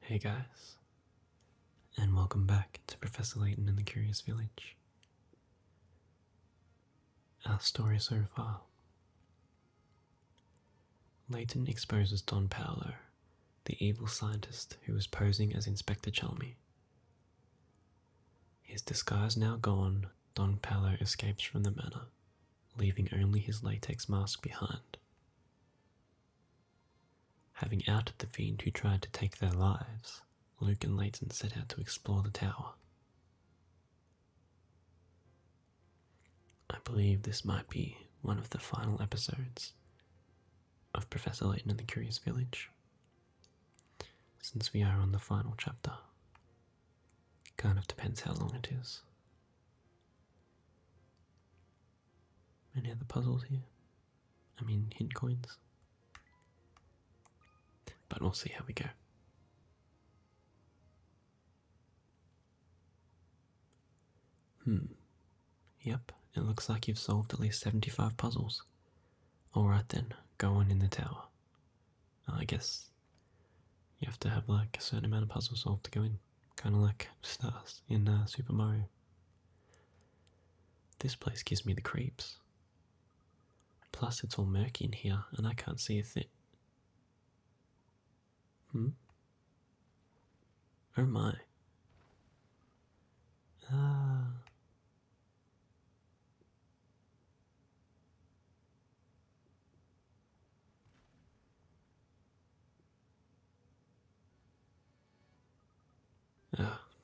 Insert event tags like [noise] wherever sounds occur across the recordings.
Hey guys, and welcome back to Professor Layton and the Curious Village. Our story so far Leighton exposes Don Paolo, the evil scientist who was posing as Inspector Chalmy. His disguise now gone, Don Paolo escapes from the manor, leaving only his latex mask behind. Having outed the fiend who tried to take their lives, Luke and Leighton set out to explore the tower. I believe this might be one of the final episodes of Professor Layton and the Curious Village, since we are on the final chapter. Kind of depends how long it is. Any other puzzles here? I mean, hint coins. But we'll see how we go. Hmm. Yep, it looks like you've solved at least 75 puzzles. Alright then, go on in the tower. I guess you have to have like a certain amount of puzzles solved to go in, kind of like stars in uh, Super Mario. This place gives me the creeps. Plus, it's all murky in here and I can't see a thing. Hmm? Or am I? Ah.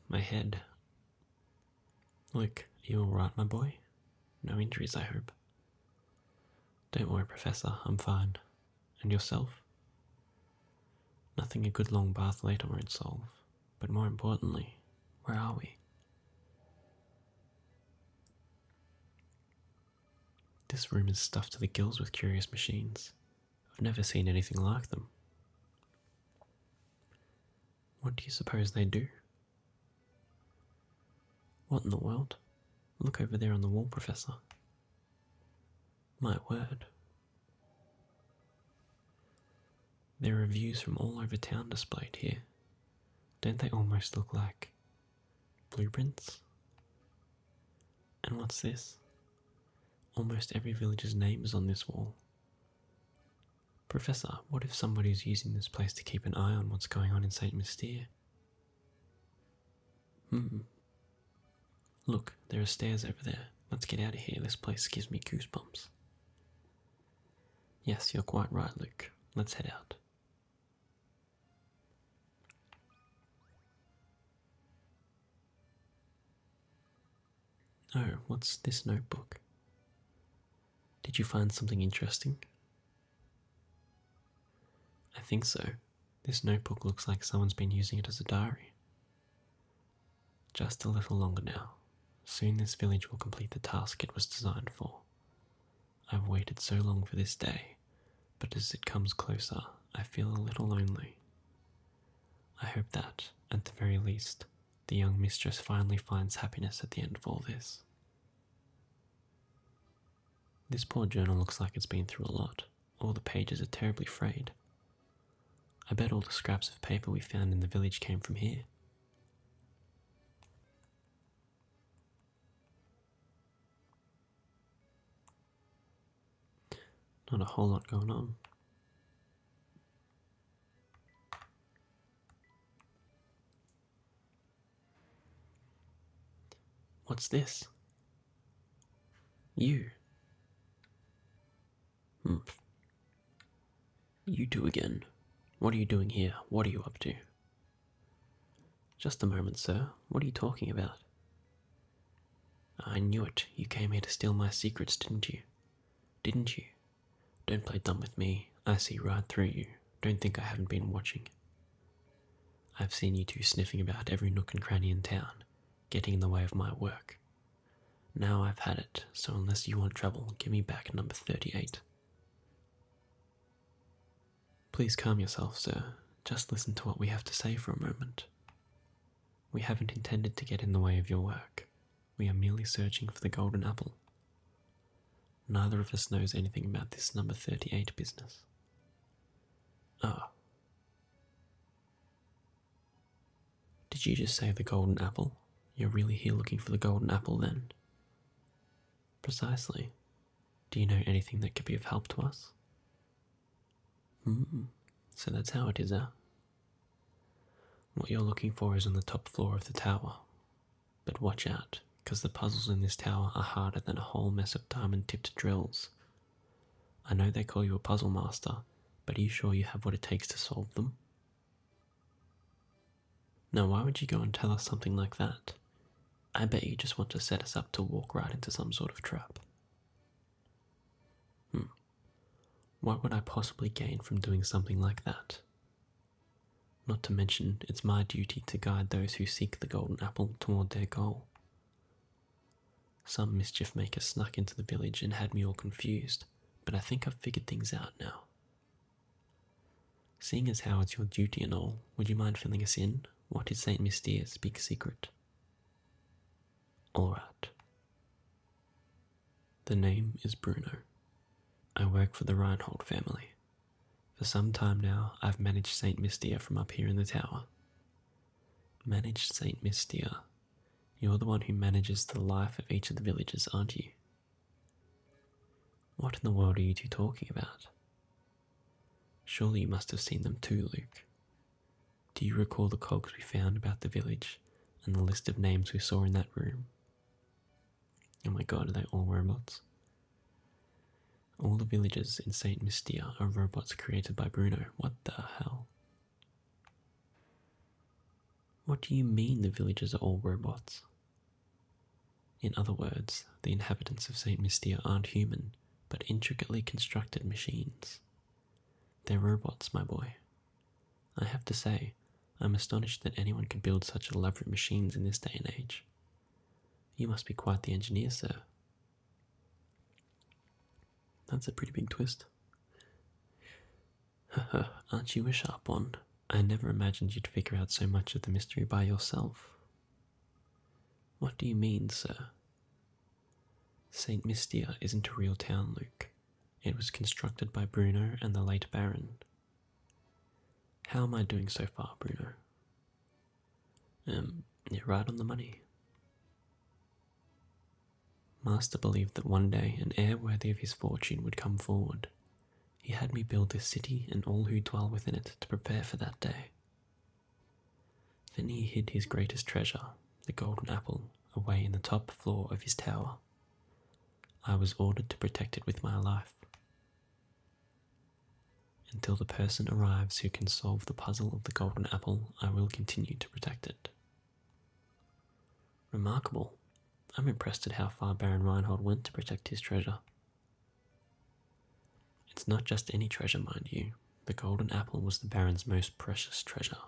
my head. Look, you all right, my boy? No injuries, I hope. Don't worry, Professor, I'm fine. And yourself? Nothing a good long bath later won't solve, but more importantly, where are we? This room is stuffed to the gills with curious machines. I've never seen anything like them. What do you suppose they do? What in the world? Look over there on the wall, Professor. My word. There are views from all over town displayed here. Don't they almost look like blueprints? And what's this? Almost every village's name is on this wall. Professor, what if somebody is using this place to keep an eye on what's going on in St. Mystere? Hmm. Look, there are stairs over there. Let's get out of here. This place gives me goosebumps. Yes, you're quite right, Luke. Let's head out. Oh, what's this notebook? Did you find something interesting? I think so. This notebook looks like someone's been using it as a diary. Just a little longer now. Soon this village will complete the task it was designed for. I've waited so long for this day, but as it comes closer, I feel a little lonely. I hope that, at the very least, the young mistress finally finds happiness at the end of all this. This poor journal looks like it's been through a lot. All the pages are terribly frayed. I bet all the scraps of paper we found in the village came from here. Not a whole lot going on. What's this? You. Hmm. You two again. What are you doing here? What are you up to? Just a moment, sir. What are you talking about? I knew it. You came here to steal my secrets, didn't you? Didn't you? Don't play dumb with me. I see right through you. Don't think I haven't been watching. I've seen you two sniffing about every nook and cranny in town, getting in the way of my work. Now I've had it, so unless you want trouble, give me back number 38. Please calm yourself, sir. Just listen to what we have to say for a moment. We haven't intended to get in the way of your work. We are merely searching for the golden apple. Neither of us knows anything about this number 38 business. Ah. Did you just say the golden apple? You're really here looking for the golden apple then? Precisely. Do you know anything that could be of help to us? Hmm, so that's how it is, eh? What you're looking for is on the top floor of the tower. But watch out, because the puzzles in this tower are harder than a whole mess of diamond tipped drills. I know they call you a puzzle master, but are you sure you have what it takes to solve them? Now, why would you go and tell us something like that? I bet you just want to set us up to walk right into some sort of trap. Hmm. What would I possibly gain from doing something like that? Not to mention, it's my duty to guide those who seek the golden apple toward their goal. Some mischief maker snuck into the village and had me all confused, but I think I've figured things out now. Seeing as how it's your duty and all, would you mind filling us in? What is St. Mystier's big secret? Alright. The name is Bruno. I work for the Reinhold family. For some time now, I've managed St. Mystia from up here in the tower. Managed St. Mystia. You're the one who manages the life of each of the villages, aren't you? What in the world are you two talking about? Surely you must have seen them too, Luke. Do you recall the cogs we found about the village and the list of names we saw in that room? Oh my god, are they all robots? All the villages in Saint Mystia are robots created by Bruno. What the hell? What do you mean the villages are all robots? In other words, the inhabitants of Saint Mystia aren't human, but intricately constructed machines. They're robots, my boy. I have to say, I'm astonished that anyone could build such elaborate machines in this day and age. You must be quite the engineer, sir. That's a pretty big twist. [laughs] Aren't you a sharp one? I never imagined you'd figure out so much of the mystery by yourself. What do you mean, sir? St. Mystia isn't a real town, Luke. It was constructed by Bruno and the late Baron. How am I doing so far, Bruno? Um, you're right on the money. Master believed that one day an heir worthy of his fortune would come forward. He had me build this city and all who dwell within it to prepare for that day. Then he hid his greatest treasure, the golden apple, away in the top floor of his tower. I was ordered to protect it with my life. Until the person arrives who can solve the puzzle of the golden apple, I will continue to protect it. Remarkable. I'm impressed at how far Baron Reinhold went to protect his treasure. It's not just any treasure, mind you. The golden apple was the Baron's most precious treasure.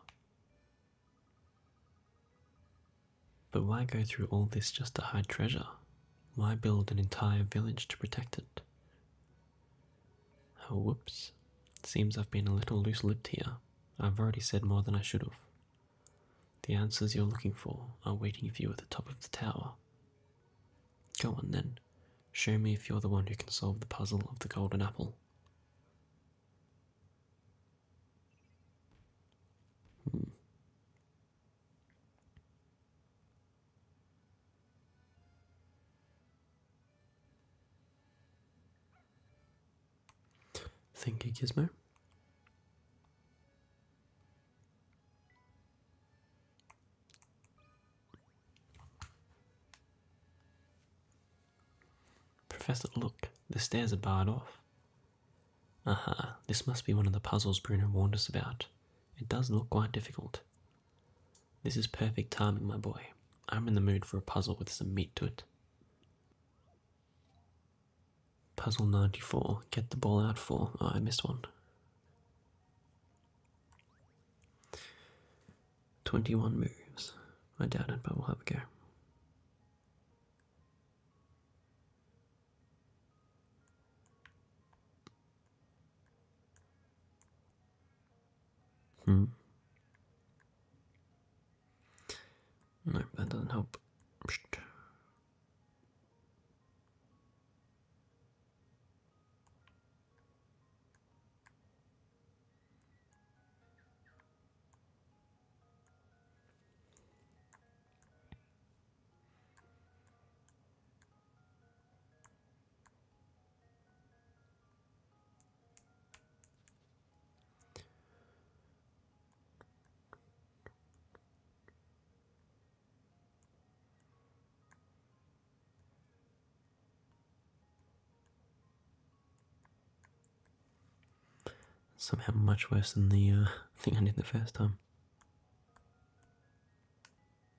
But why go through all this just to hide treasure? Why build an entire village to protect it? Oh, whoops. Seems I've been a little loose lipped here. I've already said more than I should have. The answers you're looking for are waiting for you at the top of the tower. Go on then. Show me if you're the one who can solve the puzzle of the golden apple. Hmm. Thank you, Gizmo. Professor, look, the stairs are barred off. Aha, this must be one of the puzzles Bruno warned us about. It does look quite difficult. This is perfect timing, my boy. I'm in the mood for a puzzle with some meat to it. Puzzle 94. Get the ball out for. Oh, I missed one. 21 moves. I doubt it, but we'll have a go. Hmm. No, that doesn't help. Somehow much worse than the uh, [laughs] thing I did the first time.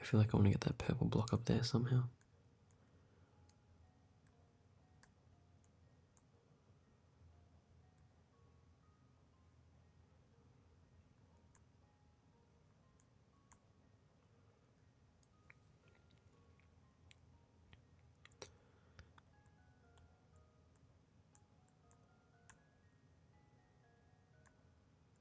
I feel like I want to get that purple block up there somehow.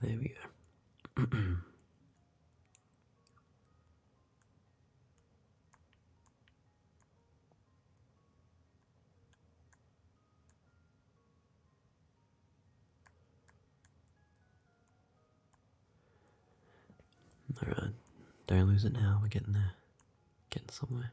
There we go. [clears throat] Alright, don't lose it now, we're getting there. Getting somewhere.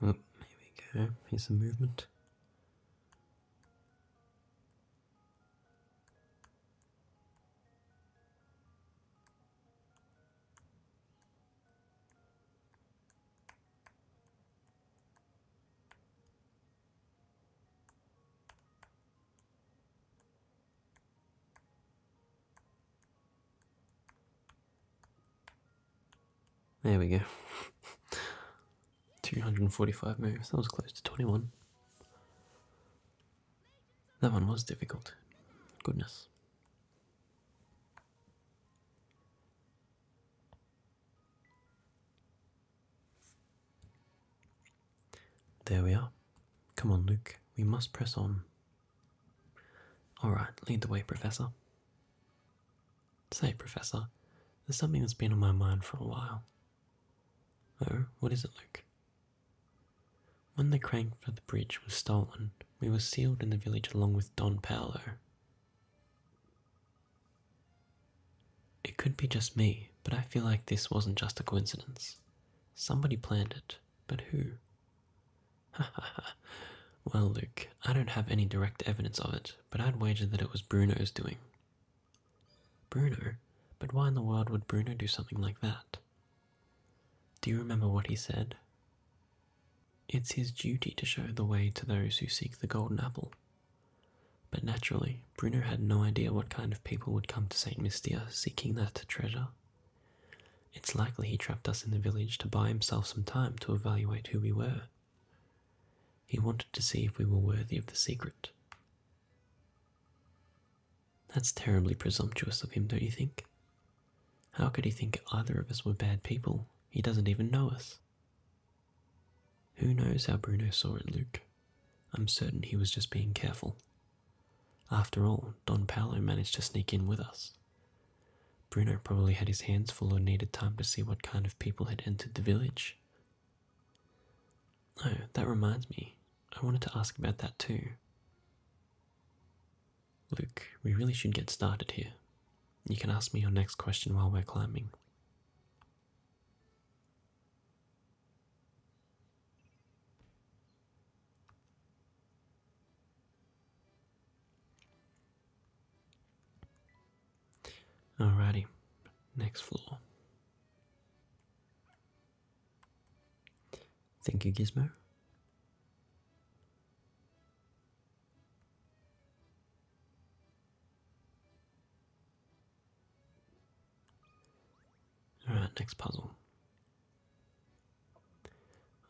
Oh, here we go. Here's some movement. There we go. 245 moves. That was close to 21. That one was difficult. Goodness. There we are. Come on, Luke, we must press on. All right, lead the way, Professor. Say, Professor, there's something that's been on my mind for a while. Oh, what is it, Luke? When the crank for the bridge was stolen, we were sealed in the village along with Don Paolo. It could be just me, but I feel like this wasn't just a coincidence. Somebody planned it, but who? Ha ha ha. Well, Luke, I don't have any direct evidence of it, but I'd wager that it was Bruno's doing. Bruno? But why in the world would Bruno do something like that? Do you remember what he said? It's his duty to show the way to those who seek the golden apple. But naturally, Bruno had no idea what kind of people would come to St. Mystia seeking that treasure. It's likely he trapped us in the village to buy himself some time to evaluate who we were. He wanted to see if we were worthy of the secret. That's terribly presumptuous of him, don't you think? How could he think either of us were bad people? He doesn't even know us. Who knows how Bruno saw it, Luke? I'm certain he was just being careful. After all, Don Paolo managed to sneak in with us. Bruno probably had his hands full or needed time to see what kind of people had entered the village. Oh, that reminds me. I wanted to ask about that too. Luke, we really should get started here. You can ask me your next question while we're climbing. All righty, next floor. Thank you, Gizmo. Alright, next puzzle.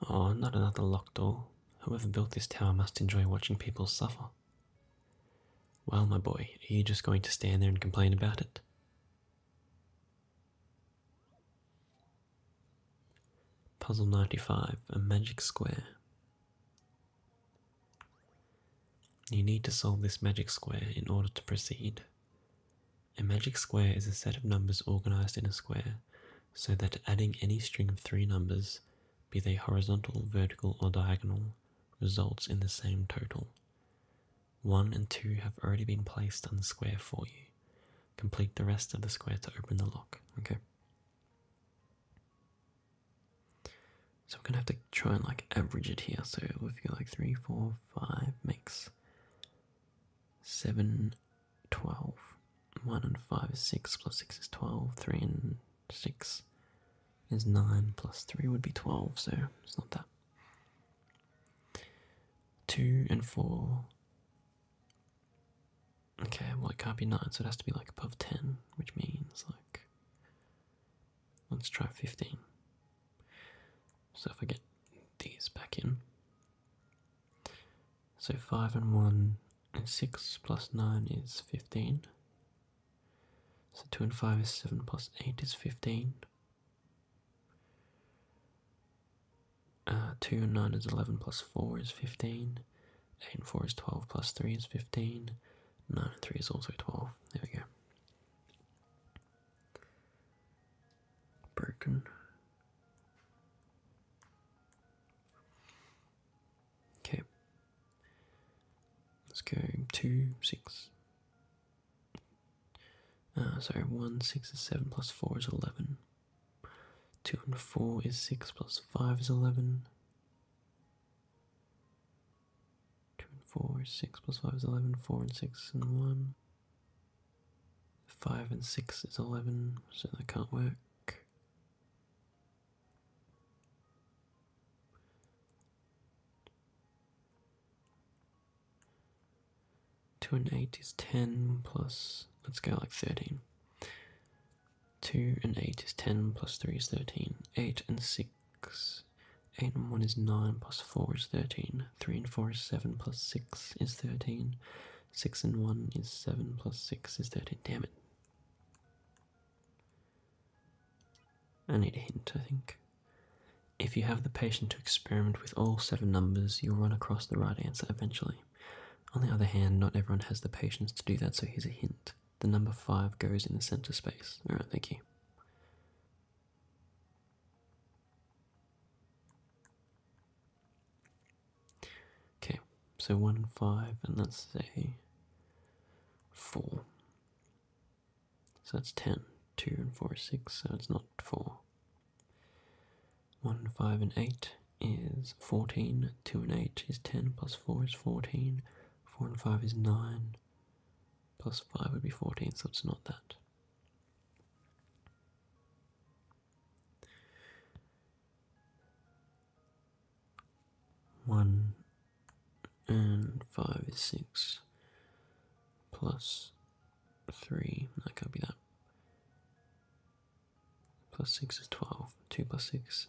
Oh, not another locked door. Whoever built this tower must enjoy watching people suffer. Well, my boy, are you just going to stand there and complain about it? Puzzle 95 A Magic Square. You need to solve this magic square in order to proceed. A magic square is a set of numbers organized in a square so that adding any string of three numbers, be they horizontal, vertical, or diagonal, results in the same total. 1 and 2 have already been placed on the square for you. Complete the rest of the square to open the lock, okay? So I'm gonna have to try and like average it here. So if you like three, four, five makes seven, 12. 1 and 5 is 6, plus 6 is 12, 3 and 6 is 9, plus 3 would be 12, so it's not that. 2 and 4. Okay, well it can't be 9, so it has to be like above 10, which means like Let's try 15. So if I get these back in. So 5 and 1 and 6 plus 9 is 15. So 2 and 5 is 7 plus 8 is 15. Uh, 2 and 9 is 11 plus 4 is 15. 8 and 4 is 12, plus 3 is 15, 9 and 3 is also 12. There we go. Broken. Okay. Let's go 2, 6. Uh, sorry, 1, 6 is 7, plus 4 is 11. 2 and 4 is 6, plus 5 is 11. 2 and 4 is 6 plus 5 is 11, 4 and 6 and 1. 5 and 6 is 11, so that can't work. Two and eight is ten plus, let's go like thirteen. 2 and 8 is 10, plus 3 is 13. 8 and 6. 8 and 1 is 9, plus 4 is 13. 3 and 4 is 7, plus 6 is 13. 6 and 1 is 7, plus 6 is 13. Damn it. I need a hint, I think. If you have the patience to experiment with all seven numbers, you'll run across the right answer eventually. On the other hand, not everyone has the patience to do that, so here's a hint the number 5 goes in the center space. Alright, thank you. Okay, so 1 and 5, and let's say 4. So that's 10. 2 and 4 is 6, so it's not 4. 1, 5, and 8 is 14. 2 and 8 is 10, plus 4 is 14. 4 and 5 is 9, plus 5 would be 14, so it's not that. One and five is six plus three. That can't be that. Plus six is twelve. Two plus six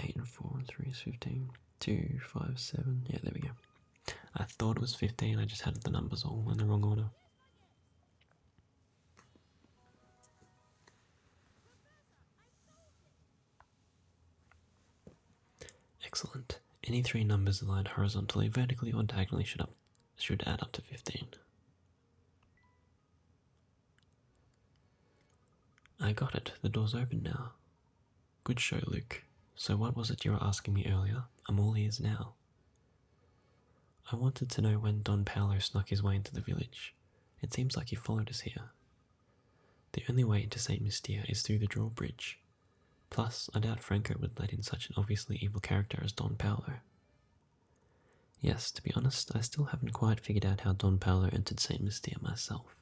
Eight and four and three is fifteen. Two, five, seven. Yeah, there we go. I thought it was fifteen. I just had the numbers all in the wrong order. Excellent. Any three numbers aligned horizontally, vertically, or diagonally should should add up to fifteen. I got it. The door's open now. Good show, Luke. So, what was it you were asking me earlier? I'm all ears now. I wanted to know when Don Paolo snuck his way into the village. It seems like he followed us here. The only way into St. Mystia is through the drawbridge. Plus, I doubt Franco would let in such an obviously evil character as Don Paolo. Yes, to be honest, I still haven't quite figured out how Don Paolo entered St. Mystia myself.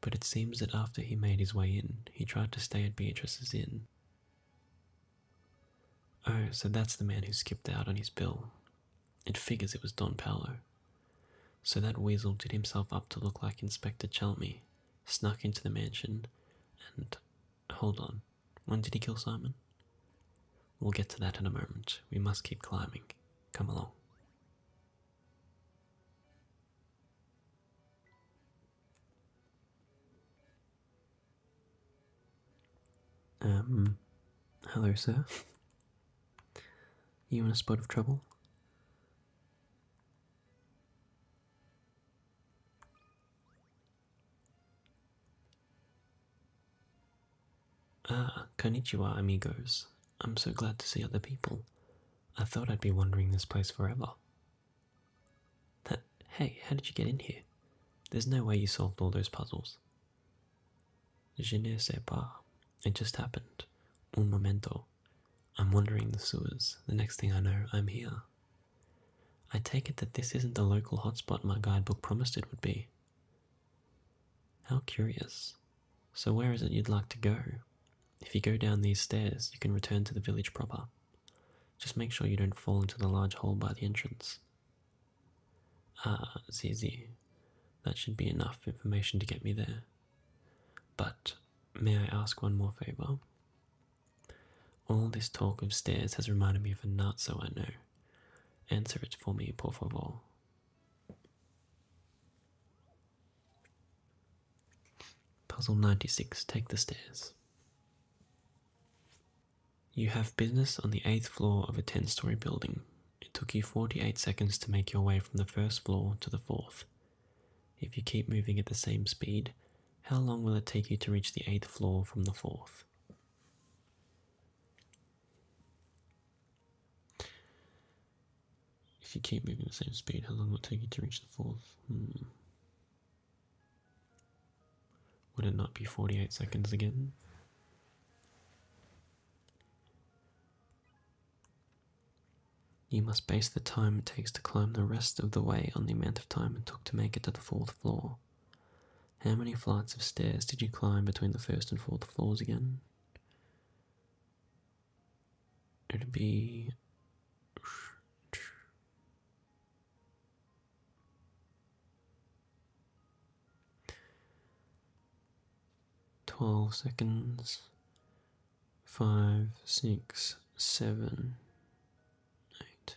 But it seems that after he made his way in, he tried to stay at Beatrice's inn. Oh, so that's the man who skipped out on his bill. It figures it was Don Paolo. So that weasel did himself up to look like Inspector Chalmy, snuck into the mansion, and. Hold on, when did he kill Simon? We'll get to that in a moment. We must keep climbing. Come along. Um, hello, sir. you in a spot of trouble? Ah, konnichiwa, amigos. I'm so glad to see other people. I thought I'd be wandering this place forever. hey, how did you get in here? There's no way you solved all those puzzles. Je ne sais pas. It just happened. Un momento. I'm wandering the sewers. The next thing I know, I'm here. I take it that this isn't the local hotspot my guidebook promised it would be. How curious. So, where is it you'd like to go? If you go down these stairs, you can return to the village proper. Just make sure you don't fall into the large hole by the entrance. Ah, Zizi. That should be enough information to get me there. But, may I ask one more favour? All this talk of stairs has reminded me of a nut, so I know. Answer it for me, por favor. Puzzle 96 Take the Stairs. You have business on the eighth floor of a 10 story building. It took you 48 seconds to make your way from the first floor to the fourth. If you keep moving at the same speed, how long will it take you to reach the eighth floor from the fourth? If you keep moving the same speed, how long will it take you to reach the fourth? Hmm. Would it not be 48 seconds again? You must base the time it takes to climb the rest of the way on the amount of time it took to make it to the fourth floor. How many flights of stairs did you climb between the first and fourth floors again? It'd be. Twelve seconds. Five, six, seven, eight.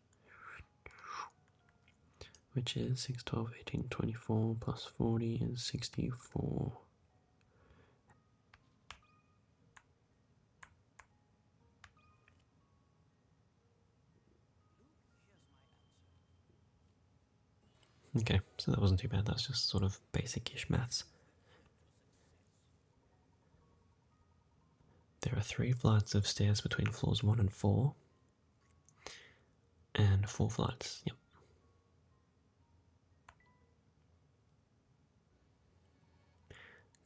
which is 6, 12, 18, 24 plus 40 is 64. Okay, so that wasn't too bad, That was just sort of basic ish maths. There are three flights of stairs between floors one and four, and four flights, yep.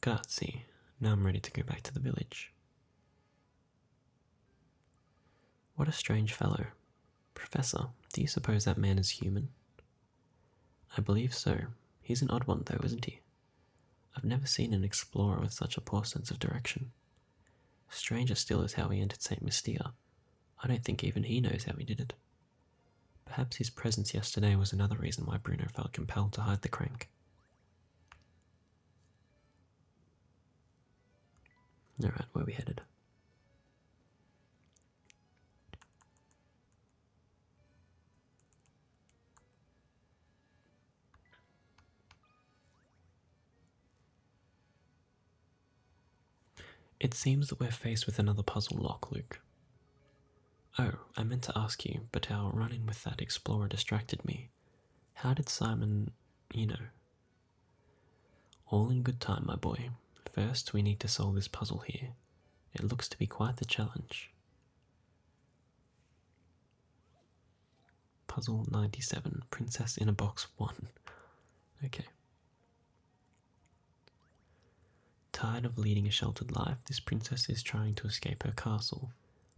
Grazie. Now I'm ready to go back to the village. What a strange fellow. Professor, do you suppose that man is human? I believe so. He's an odd one, though, isn't he? I've never seen an explorer with such a poor sense of direction. Stranger still is how he entered St. Mystia. I don't think even he knows how he did it. Perhaps his presence yesterday was another reason why Bruno felt compelled to hide the crank. Alright, where we headed? It seems that we're faced with another puzzle lock, Luke. Oh, I meant to ask you, but our run in with that explorer distracted me. How did Simon, you know? All in good time, my boy. First, we need to solve this puzzle here. It looks to be quite the challenge. Puzzle 97 Princess in a Box 1. Okay. Tired of leading a sheltered life, this princess is trying to escape her castle.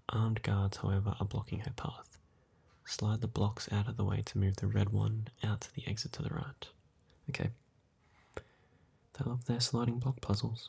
Armed guards, however, are blocking her path. Slide the blocks out of the way to move the red one out to the exit to the right. Okay. They love their sliding block puzzles.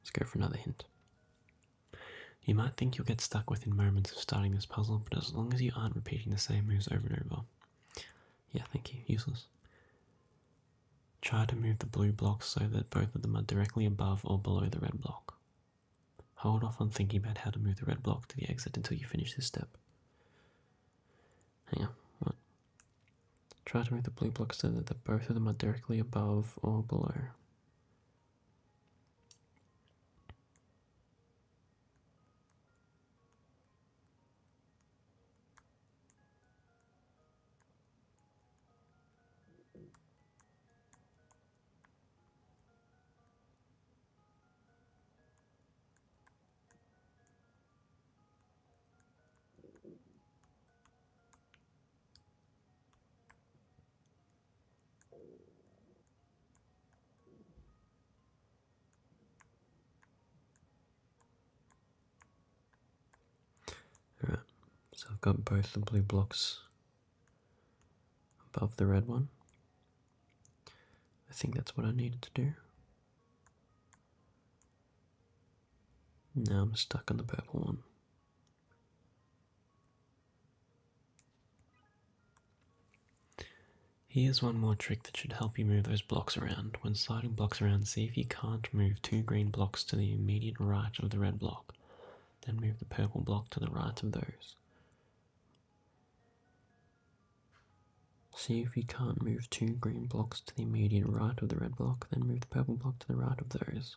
Let's go for another hint. You might think you'll get stuck within moments of starting this puzzle, but as long as you aren't repeating the same moves over and over. Yeah, thank you. Useless. Try to move the blue blocks so that both of them are directly above or below the red block. Hold off on thinking about how to move the red block to the exit until you finish this step. Hang on, Try to make the blue block so that both of them are directly above or below. Alright, so I've got both the blue blocks above the red one. I think that's what I needed to do. Now I'm stuck on the purple one. Here's one more trick that should help you move those blocks around. When sliding blocks around, see if you can't move two green blocks to the immediate right of the red block. Then move the purple block to the right of those. See if you can't move two green blocks to the immediate right of the red block, then move the purple block to the right of those.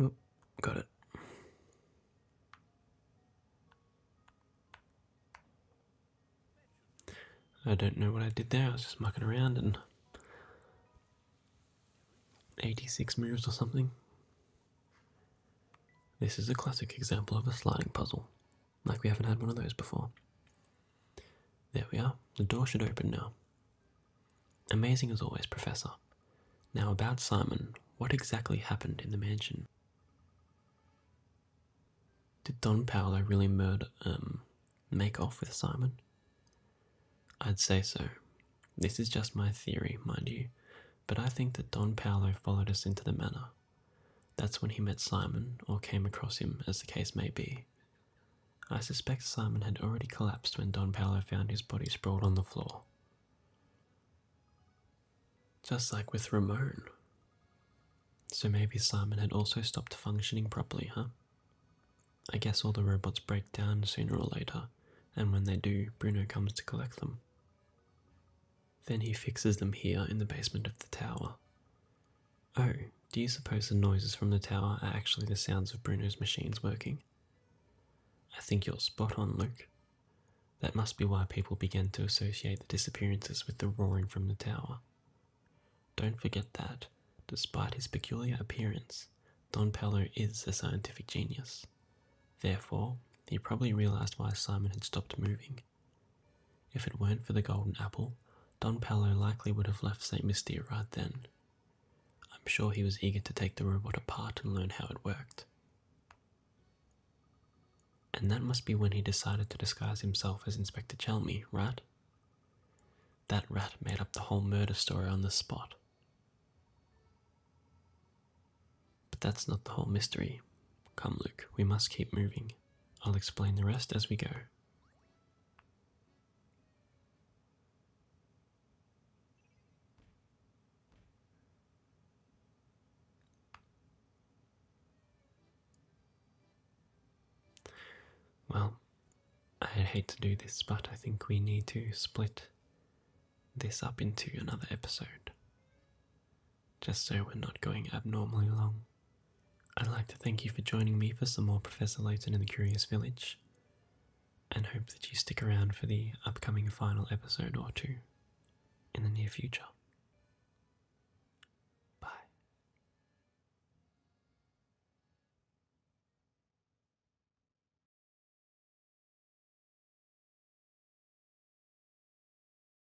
Oh, got it. I don't know what I did there, I was just mucking around and 86 moves or something. This is a classic example of a sliding puzzle like we haven't had one of those before. There we are, the door should open now. Amazing as always, Professor. Now, about Simon, what exactly happened in the mansion? Did Don Paolo really murder, um, make off with Simon? I'd say so. This is just my theory, mind you, but I think that Don Paolo followed us into the manor that's when he met Simon, or came across him, as the case may be. I suspect Simon had already collapsed when Don Paolo found his body sprawled on the floor. Just like with Ramon. So maybe Simon had also stopped functioning properly, huh? I guess all the robots break down sooner or later, and when they do, Bruno comes to collect them. Then he fixes them here in the basement of the tower. Oh, do you suppose the noises from the tower are actually the sounds of Bruno's machines working? I think you're spot on, Luke. That must be why people began to associate the disappearances with the roaring from the tower. Don't forget that, despite his peculiar appearance, Don Pello is a scientific genius. Therefore, he probably realized why Simon had stopped moving if it weren't for the golden apple, Don Paolo likely would have left St. Mystia right then. I'm sure he was eager to take the robot apart and learn how it worked. And that must be when he decided to disguise himself as Inspector Chelmy, right? That rat made up the whole murder story on the spot. But that's not the whole mystery. Come, Luke, we must keep moving. I'll explain the rest as we go. Well, I'd hate to do this, but I think we need to split this up into another episode. Just so we're not going abnormally long, I'd like to thank you for joining me for some more Professor Layton in the Curious Village, and hope that you stick around for the upcoming final episode or two in the near future. Bye.